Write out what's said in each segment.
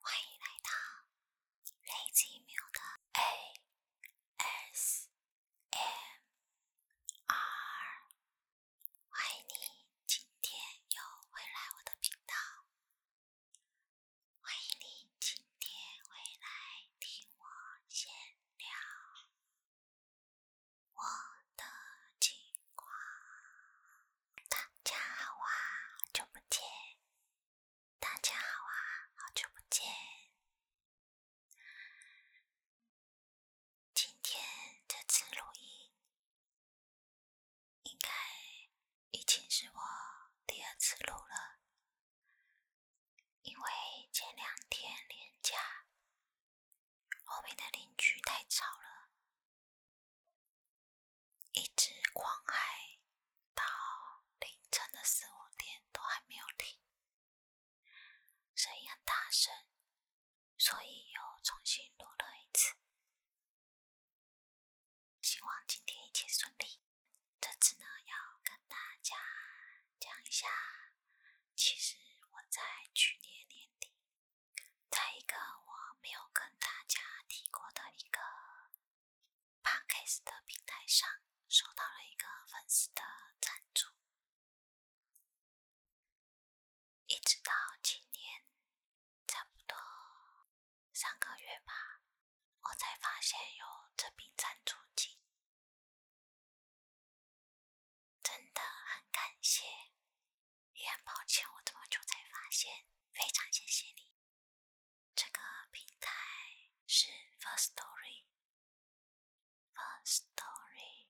欢迎来到 LazyMuda A S M R，欢迎你今天又回来我的频道。欢迎你今天回来听我闲聊我的情况。大家好啊，好久不见。大家好啊，好久不见。今天这次录音。应该已经是我第二次录了，因为前两天连假，后面的邻居太吵了，一直狂嗨到凌晨的四五点都还没有停，声音很大声，所以又重新录了一次。希望今天一切顺利。这次呢，要跟大家讲一下，其实我在去年年底，在一个我没有跟大家提过的一个 podcast 的平台上，收到了一个粉丝的赞助，一直到今年。差不多三个月吧，我才发现有这瓶赞助金，真的很感谢，也很抱歉我这么久才发现，非常谢谢你。这个平台是 First Story，First Story，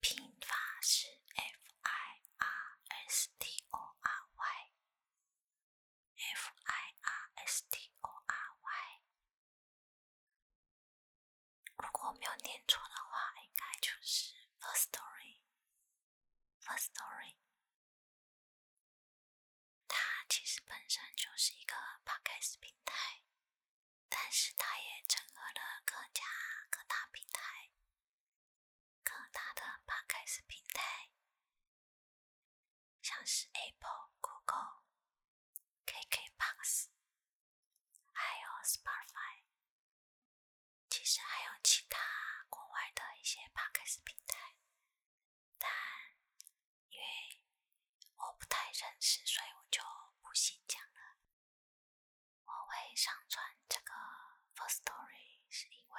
拼法是 F I R S T O R Y。First Story，如果我没有念错的话，应该就是 First Story。First Story，它其实本身就是一个 podcast 平台，但是它也整合了各家各大平台。更大的 podcast 平台，像是 Apple、Google、KKbox，还有 Spotify，其实还有其他国外的一些 podcast 平台，但因为我不太认识，所以我就不细讲了。我会上传这个 first story 是因为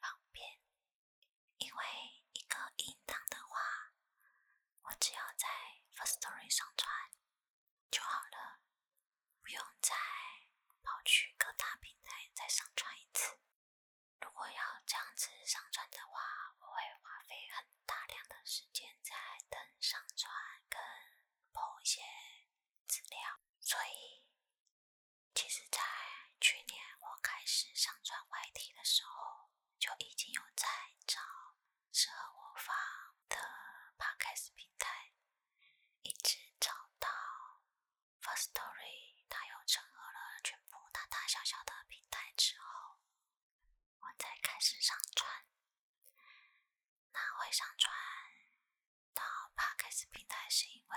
方便，因为一个隐藏的话，我只要在 first story 上传就好了，不用再跑去各大平台再上传一次。如果要这样子上传的话，我会花费很大量的时间在等上传跟播一些资料，所以。其实，在去年我开始上传外题的时候，就已经有在找适合我发的 podcast 平台，一直找到 First Story，它又整合了全部大大小小的平台之后，我再开始上传。那会上传。到帕克斯平台是因为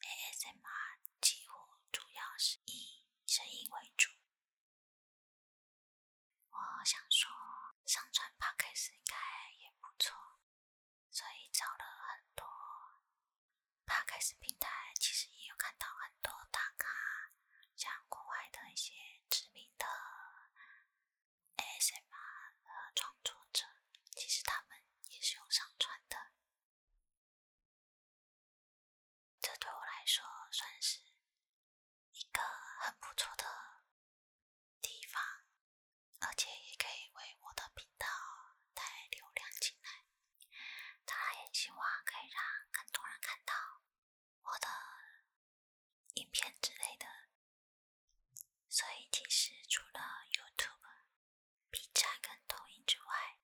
ASMR 几乎主要是以声音为主，我想说上传帕克斯应该也不错，所以找了很多帕克斯平台，其实也有看到很多大咖，像国外的一些知名的。ASMR 的创作者，其实他们也是有上传的，这对我来说算是一个很不错的地方，而且也可以为我的频道带流量进来。当然也希望可以让更多人看到我的影片之类的。所以其实除了 YouTube、B 站跟抖音之外，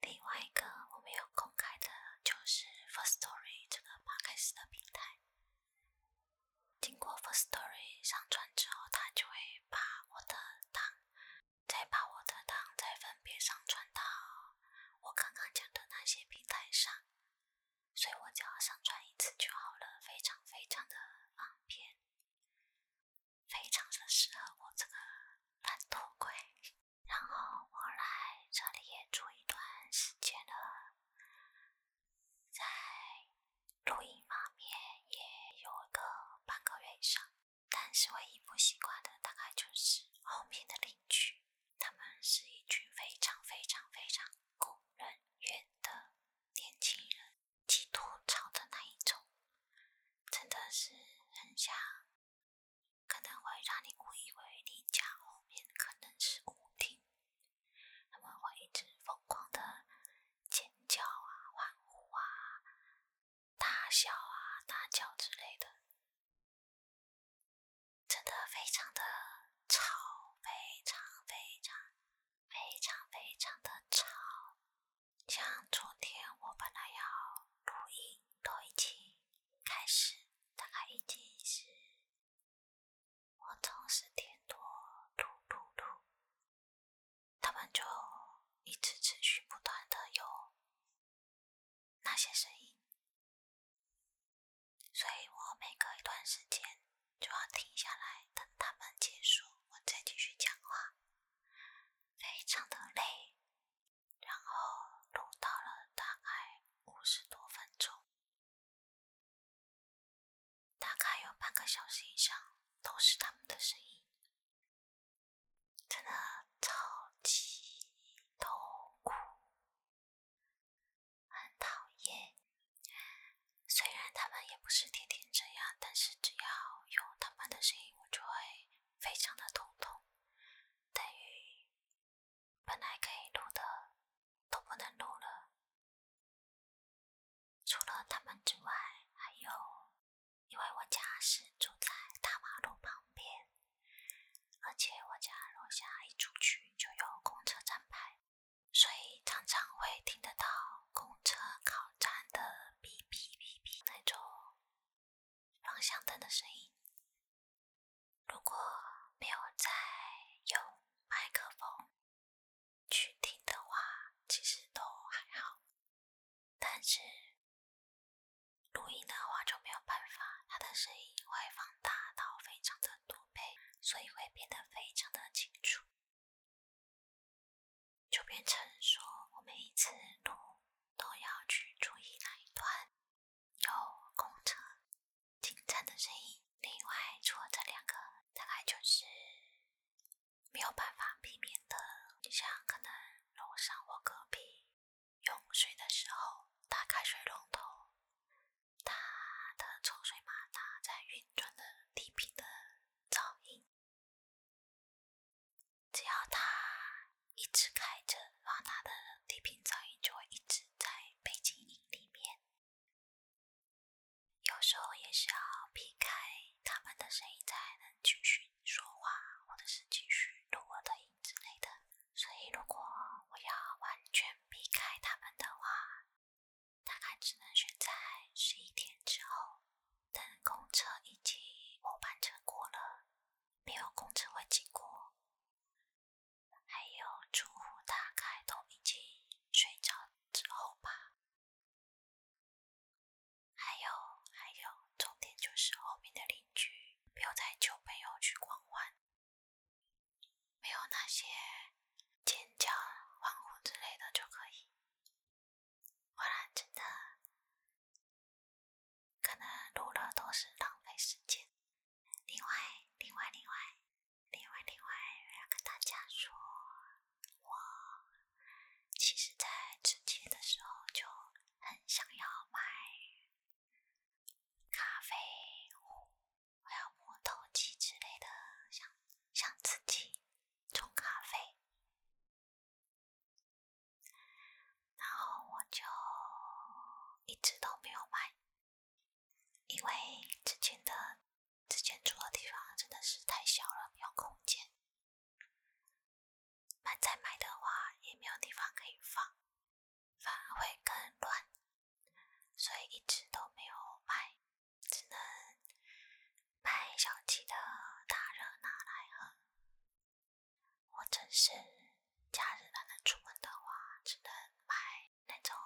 另外一个我没有公开的，就是 First Story 这个八开始的平台。经过 First Story 上传之后，它就会把我的档，再把我的档再分别上传到我刚刚讲的那些平台上。所以我就要上传一次就好了，非常非常的方便，非常的适合我这个懒头鬼。然后我来这里也住一段时间了，在录音方面也有个半个月以上，但是唯一不习惯的大概就是后面的邻居，他们是一群非常非常非常工人的。年轻人极度吵的那一种，真的是很像，可能会让你误以为你家后面可能是舞厅，他们会一直疯狂的尖叫啊、欢呼啊、大笑啊、大叫之类的，真的非常的吵，非常非常。非常非常的吵，像昨天我本来要录音，都已经开始，大概已经是我从十点多录录录，他们就一直持续不断的有那些声音。所以我每隔一段时间就要停下来等他们结束，我再继续讲话，非常的累。然后录到了大概五十多分钟，大概有半个小时以上都是他们的声音，真的超级痛苦。很讨厌，虽然他们也不是天天这样，但是只要有他们的声音，我就会非常的头痛，等于本来可以录的都不能录了。除了他们之外，还有因为我家是住在大马路旁边，而且我家楼下一出去就有公车站牌。所以常常会听得到公车靠站的哔哔哔哔那种方向灯的声音。如果没有在用麦克风去听的话，其实都还好。但是录音的话就没有办法，它的声音会放大到非常的多。所以会变得非常的清楚，就变成说，我每一次录都要去注意哪一段有公车、警站的声音。另外，除了这两个，大概就是没有办法避免的。你像可能楼上或隔壁用水的时候，打开水龙头。它的抽水马达在运转的低频的噪音，只要它一直开着，它的低频噪音就会一直在背景音里面。有时候也是要避开他们的声音才能继续说话，或者是继续录我的音之类的。所以，如果我要完全避开他们的话，大概只能选在十一天之后，等公车以及末班车过了，没有公车会经过，还有住户大概都已经睡着之后吧。还有还有，重点就是后面的邻居不要带旧朋友去狂欢。没有那些尖叫、欢呼之类的就可以。不了，真的可能录了都是浪费时间。另外，另外，另外，另外，另外要跟大家说，我其实在之前的时候就很想要买咖啡壶。我要磨豆机之类的，想想自己冲咖啡，然后我就一直都没有买，因为之前的之前住的地方真的是太小了，没有空间，买再买的话也没有地方可以放。反而会更乱，所以一直都没有买，只能买小鸡的大热拿来喝，我真是假日出门的话，只能买那种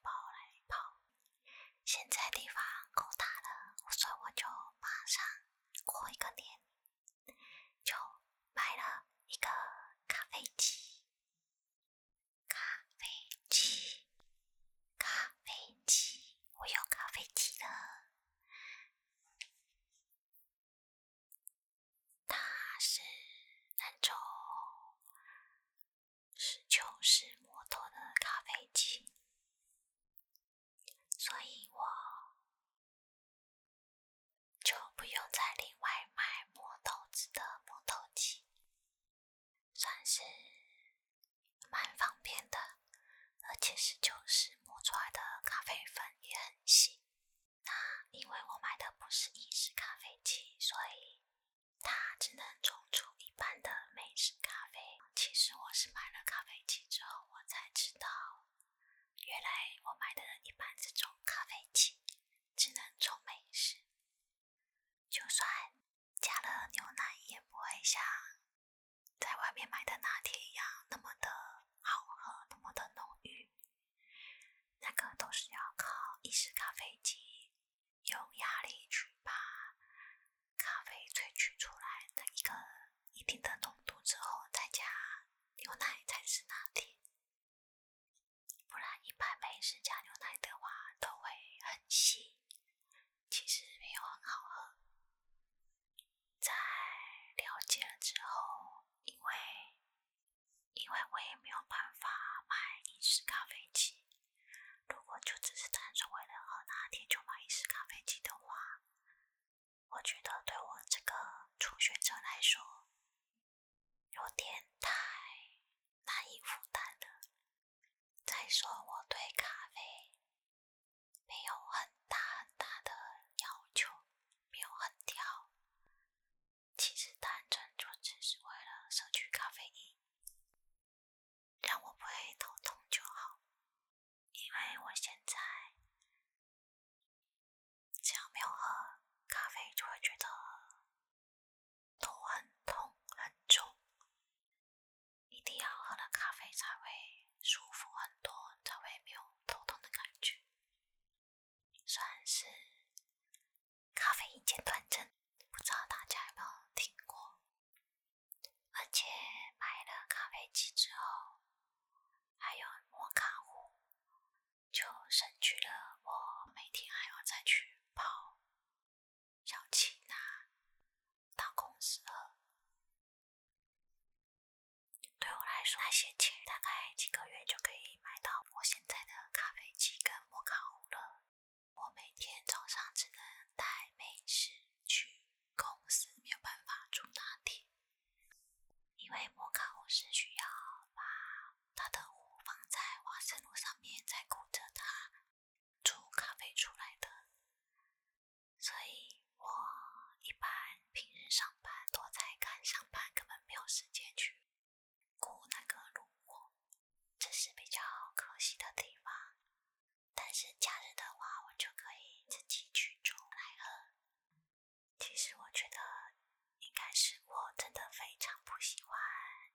包来泡。现在地方够大了，所以我就马上过一个年，就买了一个咖啡机。咖啡机，咖啡机，我有咖啡机了。它是那种是球式摩托的咖啡机，所以我。就不用再另外买磨豆子的磨豆机，算是蛮方便的。而且是就是磨出来的咖啡粉也很细。那因为我买的不是意式咖啡机，所以它只能冲出一般的美式咖啡。其实我是买了咖啡机之后，我才知道，原来我买的一般这种咖啡机。只能冲美食，就算加了牛奶，也不会像在外面买的拿铁一样那么的好喝，那么的浓郁。那个都是要靠意式咖啡机用压力去把咖啡萃取出来的一个一定的浓度之后再加牛奶才是拿铁。不然，一般美式加牛奶的话都会很稀，其实没有很好喝。在了解了之后，因为因为我也没有办法买意式咖啡机，如果就只是单纯为了喝拿铁就买意式咖啡机的话，我觉得对我这个初学者来说。有点太难以负担了。再说我对咖啡没有很大很大的要求，没有很挑。其实单纯就只是为了摄取咖啡因，让我不会头痛就好。因为我现在。只要没有喝咖啡，就会觉得头很痛很重。一定要喝了咖啡才会舒服很多，才会没有头痛的感觉。算是咖啡因戒断症，不知道大家有没有听过？而且买了咖啡机之后，还有摩卡壶。就省去了我每天还要再去跑小七那到公司了。对我来说，那些钱大概几个月就可以买到我现在的咖啡机跟摩卡壶了。我每天早上只能带美食去公司，没有办法出拿铁。因为摩卡壶是需要把他的壶放在瓦斯炉上面再鼓着他煮咖啡出来的，所以我一般平日上班都在赶上班，根本没有时间去鼓那个炉火，这是比较可惜的地方。但是假日的话，我就可以自己去煮来喝。其实我觉得应该是我真的非常不喜欢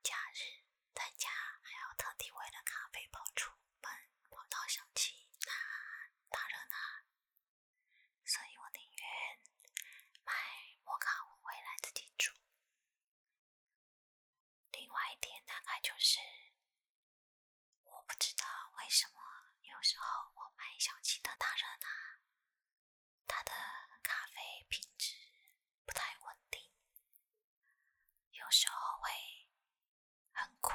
假日在家，还要特地为了咖啡跑出门，跑到小区那大热闹，所以我宁愿买摩卡壶回来自己煮。另外一点大概就是，我不知道为什么有时候我买小气的大热闹。他的咖啡品质不太稳定，有时候会很苦，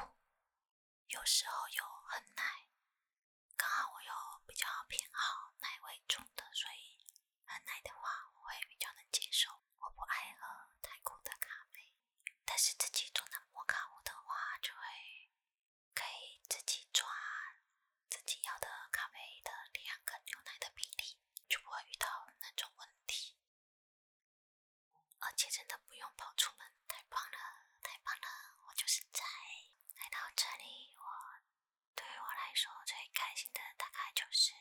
有时候又很奶。刚好我又比较偏好奶味重的，所以很奶的话我会比较能接受。我不爱喝太苦的咖啡，但是自己做拿摩卡壶的话就会。可以自己抓自己要的咖啡的两个牛奶的比例，就不会遇到那种问题。而且真的不用跑出门，太棒了，太棒了！我就是在来到这里，我对于我来说最开心的大概就是，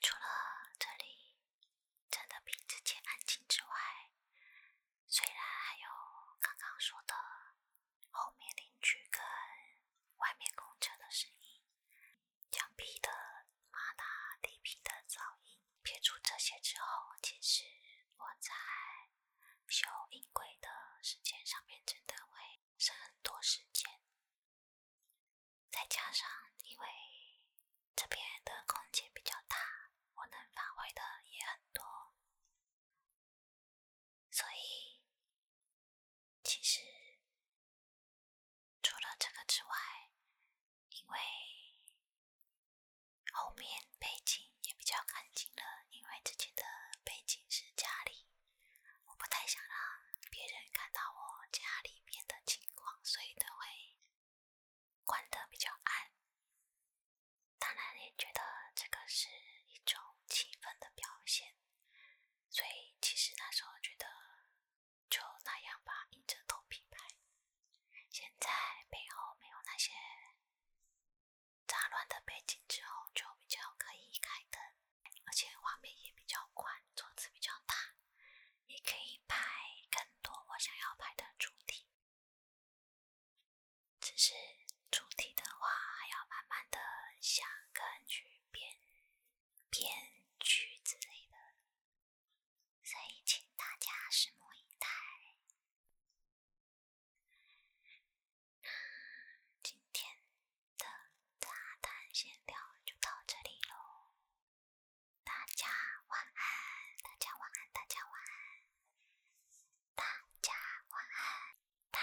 除了这里真的比之前安静之外。虽然还有刚刚说的后面邻居跟外面公车的声音，墙壁的马达、地皮的噪音，撇除这些之后，其实我在修音轨的时间上面真的会省很多时间。再加上因为这边的空间比较大，我能发挥的也很多。所以，其实除了这个之外，因为后面背景也比较干净了，因为之前的背景是家里，我不太想让别人看到我家里面的情况，所以都会关得比较暗。当然也觉得这个是一种气氛的表现，所以其实那时候觉得就那样吧，硬着头皮拍。现在背后没有那些杂乱的背景之后，就比较可以开灯，而且画面也比较宽，桌子比较大，也可以拍更多我想要拍的主题。只是主题的话，还要慢慢的想跟去编编剧之类的，所以请大家拭目以待。今天的杂谈闲聊就到这里喽，大家晚安，大家晚安，大家晚安。大家晚安，大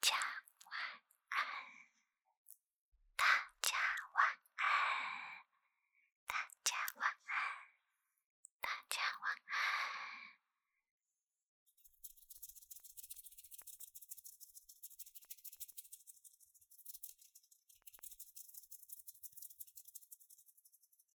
家晚安，大家晚安，大家晚安，大家晚安。